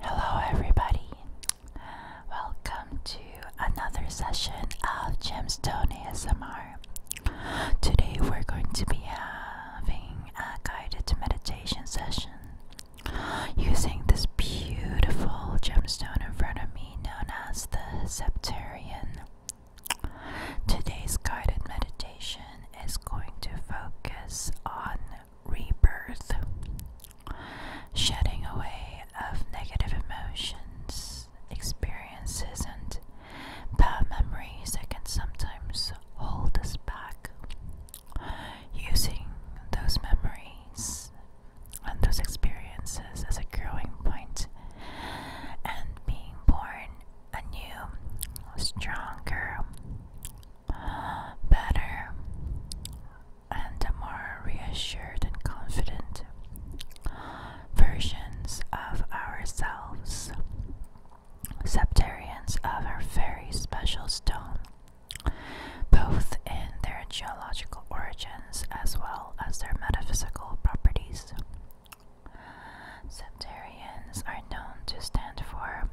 Hello, everybody. Welcome to another session of Gemstone ASMR. Today, we're going to be having a guided meditation session using this beautiful gemstone in front of me known as the Septarian. Today's guided meditation is going to focus on rebirth, shedding away of negative emotions, experiences, and bad memories that can sometimes hold us back. Using those memories and those experiences as a growing point and being born a new, stronger, better and more reassured and confident versions of ourselves. Septarians of a very special stone, both in their geological origins as well as their metaphysical properties. Septarians are known to stand for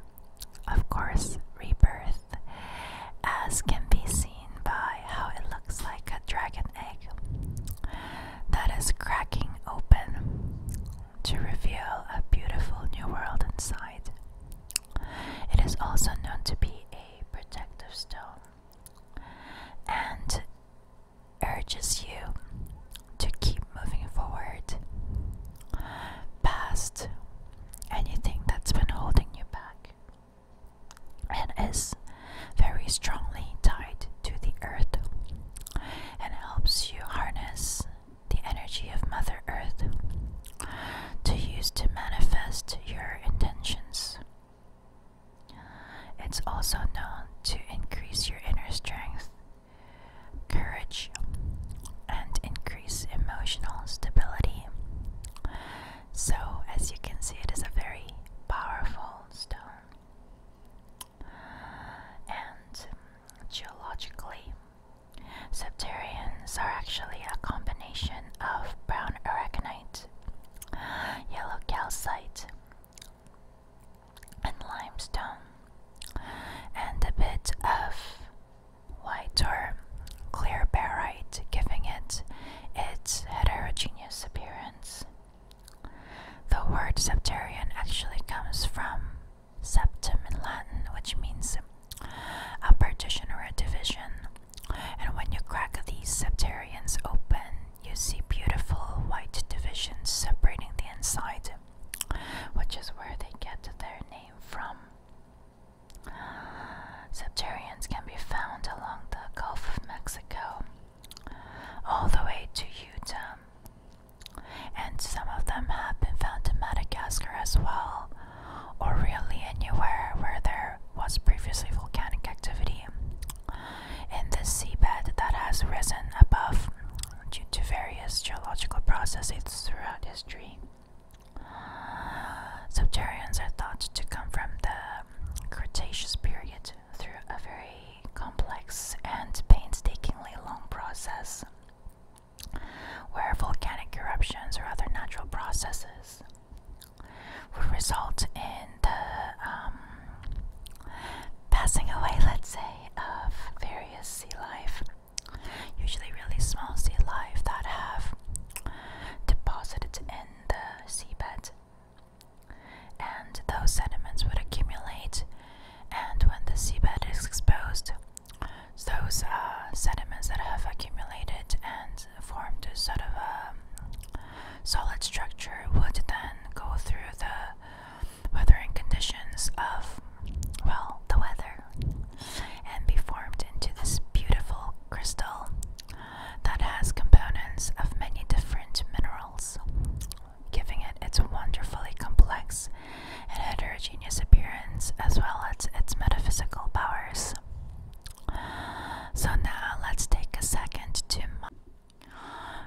of course, rebirth, as can be seen by how it looks like a dragon egg that is cracking open to reveal a beautiful new world inside. It is also known to be a protective stone and urges you to keep moving forward past, anything that's been holding you back, and is very strongly tied to the earth and helps you harness the energy of Mother Earth to use to manifest your intentions. It's also known to increase your inner strength courage, and increase emotional stability. So, as you can see, it is a very powerful stone. And geologically, septarians are actually a combination of brown aragonite, yellow calcite, and limestone, and a bit of White or clear barite, giving it its heterogeneous appearance. The word septarian actually comes from septum in Latin, which means a partition or a division. And when you crack these septarians open, you see beautiful white divisions separating the inside, which is where they get their name came can be found along the Gulf of Mexico, all the way to Utah, and some of them have been found in Madagascar as well, or really anywhere where there was previously volcanic activity. In this seabed that has risen above due to various geological processes throughout history. Subterraneans are thought to come from the Cretaceous period through a very complex and painstakingly long process where volcanic eruptions or other natural processes would result in the um, passing away, let's say, of various sea life usually really small sea life that have deposited in the seabed. And those sediments would accumulate, and when the seabed is exposed, those uh, sediments that have accumulated and formed a sort of a um, solid structure would then go through the weathering conditions of, well, the weather, and be formed into this beautiful crystal that has components of many different minerals, giving it its wonderfully complex and heterogeneous appearance as well as its metaphysical powers. So now let's take a second to.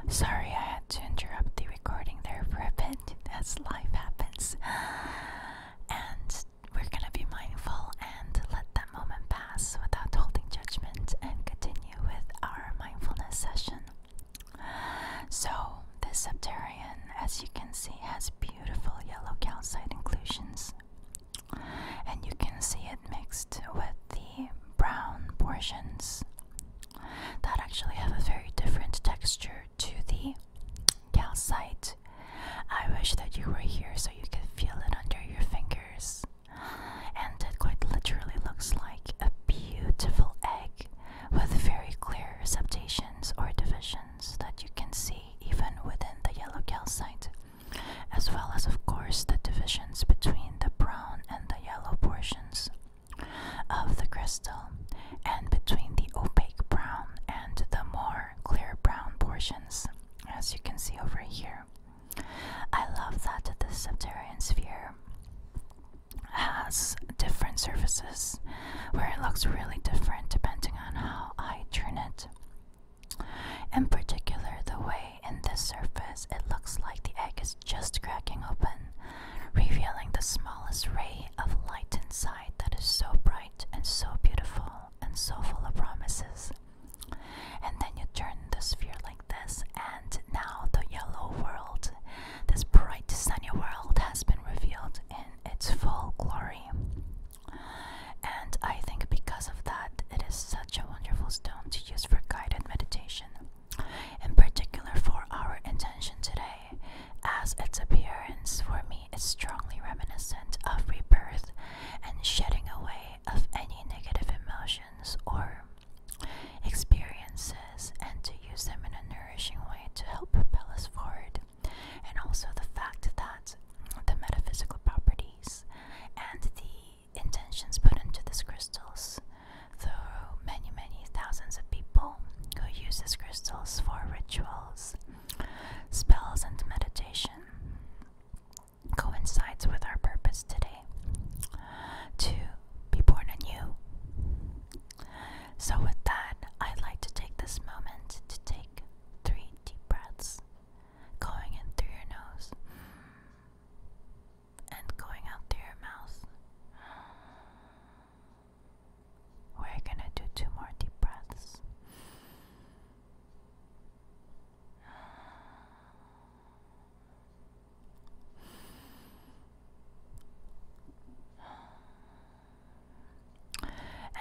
Sorry, I had to interrupt the recording there for as life happens. And we're gonna be mindful and let that moment pass without holding judgment and continue with our mindfulness session. So, this Septarian, as you can see, has beautiful yellow calcite inclusions. And you can see it mixed with the brown portions that actually have a very different texture to the calcite. I wish that you were here so you could feel it under your fingers. And it quite literally looks like a beautiful egg with very clear septations or divisions that you can see even within the yellow calcite, as well as, of course, the divisions between the brown and the yellow portions of the crystal, and between the opaque brown and the more clear brown portions, as you can see over here. I love that the subterranean sphere has different surfaces where it looks really different depending on how I turn it. In particular, the way in this surface it looks like the egg is just cracking open, revealing the smallest ray of light inside that is so bright and so beautiful and so full of promises. And then you turn the sphere like this, and now the yellow world, this bright sunny world, has been revealed in its full glory. And I think because of that, it is such a wonderful stone to use for guided meditation in particular for our intention today, as its appearance for me is strongly reminiscent of rebirth and shedding away of any negative emotions or experiences, and to use them in a nourishing way to help propel us forward, and also the fact that the metaphysical properties and the intentions put into these crystals so many, many thousands of people who use these crystals for rituals, spells, and meditation. Coincides with our purpose today to be born anew. So, with that, I'd like to take this moment to take three deep breaths, going in through your nose and going out through your mouth. We're gonna do two more deep breaths.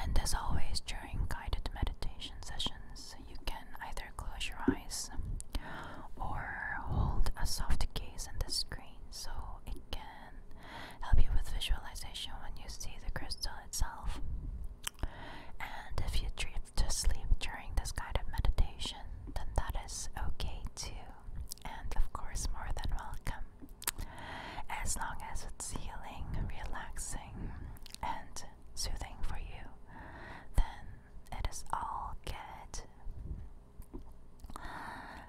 And as always, during guided meditation sessions, you can either close your eyes or hold a soft gaze in the screen so it can help you with visualization when you see the crystal itself. And if you drift to sleep during this kind of meditation, then that is okay too, and of course, more than welcome. As long as it's healing, relaxing, and soothing for you, then it is all good.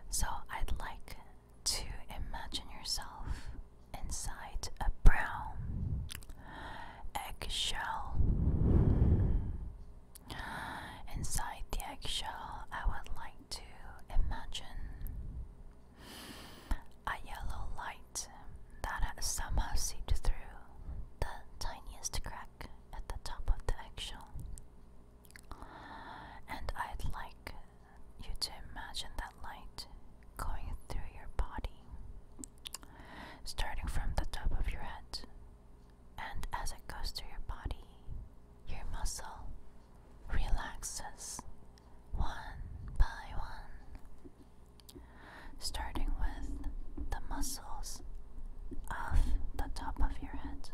So I'd like to imagine yourself inside a brown eggshell. Inside the eggshell, I would like to imagine a yellow light that somehow seeped through the tiniest crack at the top of the eggshell. And I'd like you to imagine that light going through your body, starting from the top of your head. And as it goes through your body, your muscle relaxes one by one, starting with the muscles of the top of your head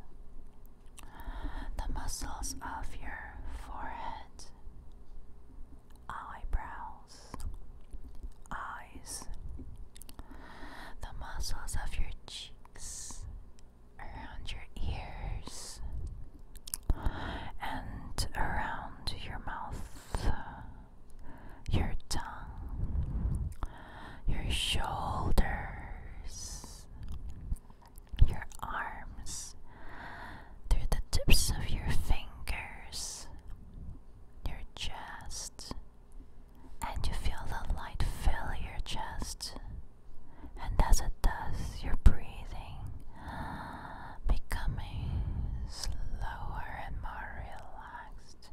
the muscles of your forehead, eyebrows, eyes, the muscles of your cheeks, around your ears, and around your mouth, your tongue, your shoulders, your arms, through the tips of your fingers, your chest, and you feel the light fill your chest. And as it does, your breathing becoming slower and more relaxed,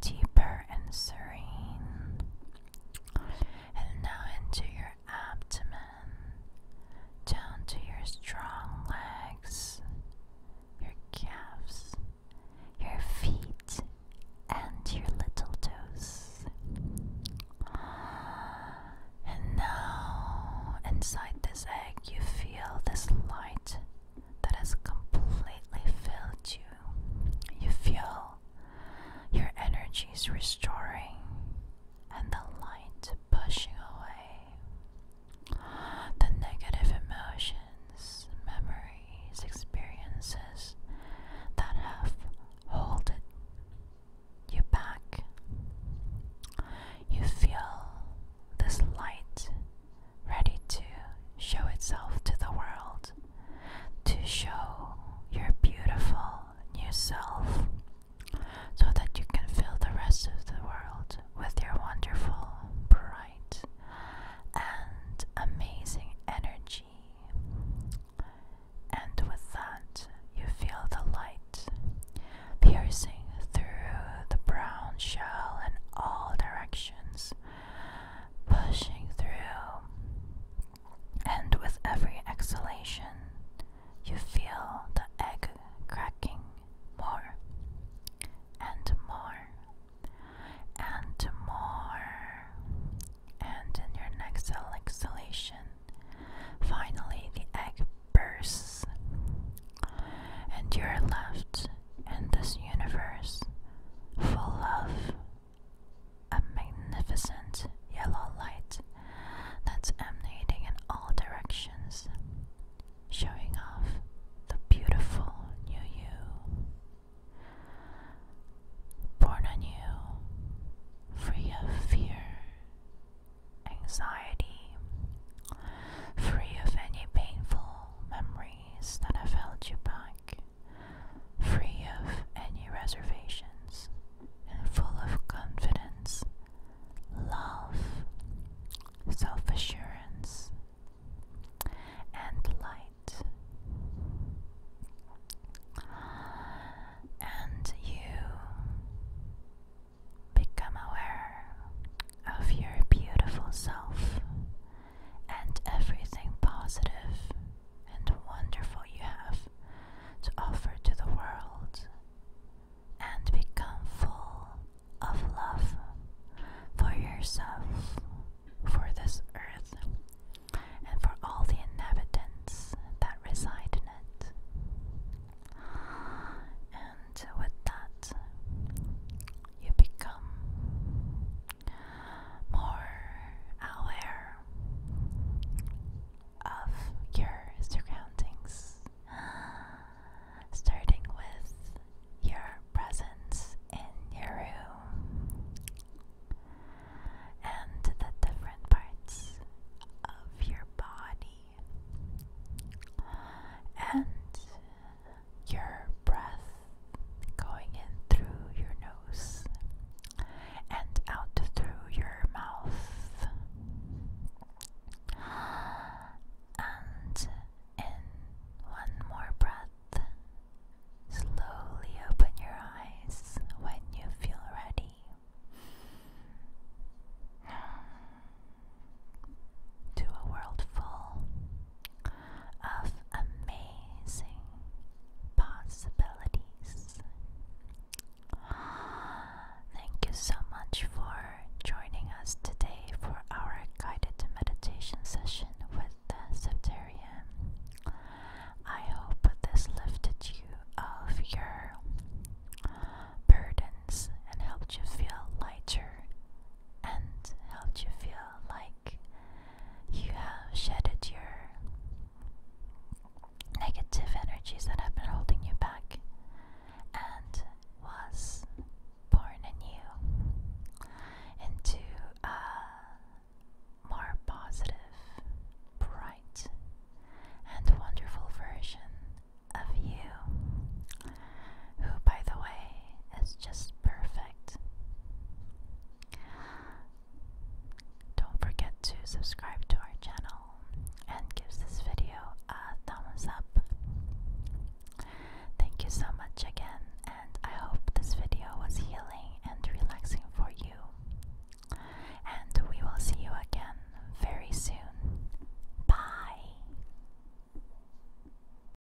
deeper and serene and now into your abdomen, down to your strong legs, your calves, your feet, and your little toes. And now, inside this egg, you feel this light that has completely filled you. You feel your energy is restoring and the light pushing away the negative emotions, memories, experiences that have held you back. You feel this light ready to show itself to the world to show your beautiful new self so that you can fill the rest of the world with your wonderful, bright, and amazing energy. And with that, you feel the light piercing through the brown shell in all directions pushing through. And with every exhalation, you feel the egg cracking more and more and more. And in your next exhalation, finally the egg bursts, and you're left in this universe full of a magnificent yellow light that's emanating in all directions, showing off the beautiful new you. Born anew, free of fear, anxiety, free of any painful memories that have held you back free of any reservations, and full of confidence, love, self assurance, and light. And you become aware of your beautiful self and everything positive and wonderful you have to offer to the world, and become full of love for yourself, for this earth, and for all the inhabitants that reside in it. And with that, you become more aware of your surroundings, starting with your presence in your room and the different parts of your body and your breath going in through your nose and out through your mouth and in one more breath slowly open your eyes when you feel ready to a world full of amazing possibilities. Thank you so much for joining us today for our guided meditation session with the Septarian. I hope this lifted you of your burdens and helped you feel lighter and helped you feel like you have shedded your negative energies that have been holding you back and was born anew into a more positive, bright, and wonderful version of you who, by the way, is just perfect. Don't forget to subscribe to our channel and give this video a thumbs up. Thank you so much again, and I hope this video was healing and relaxing for you. And we will see you again very soon. Bye!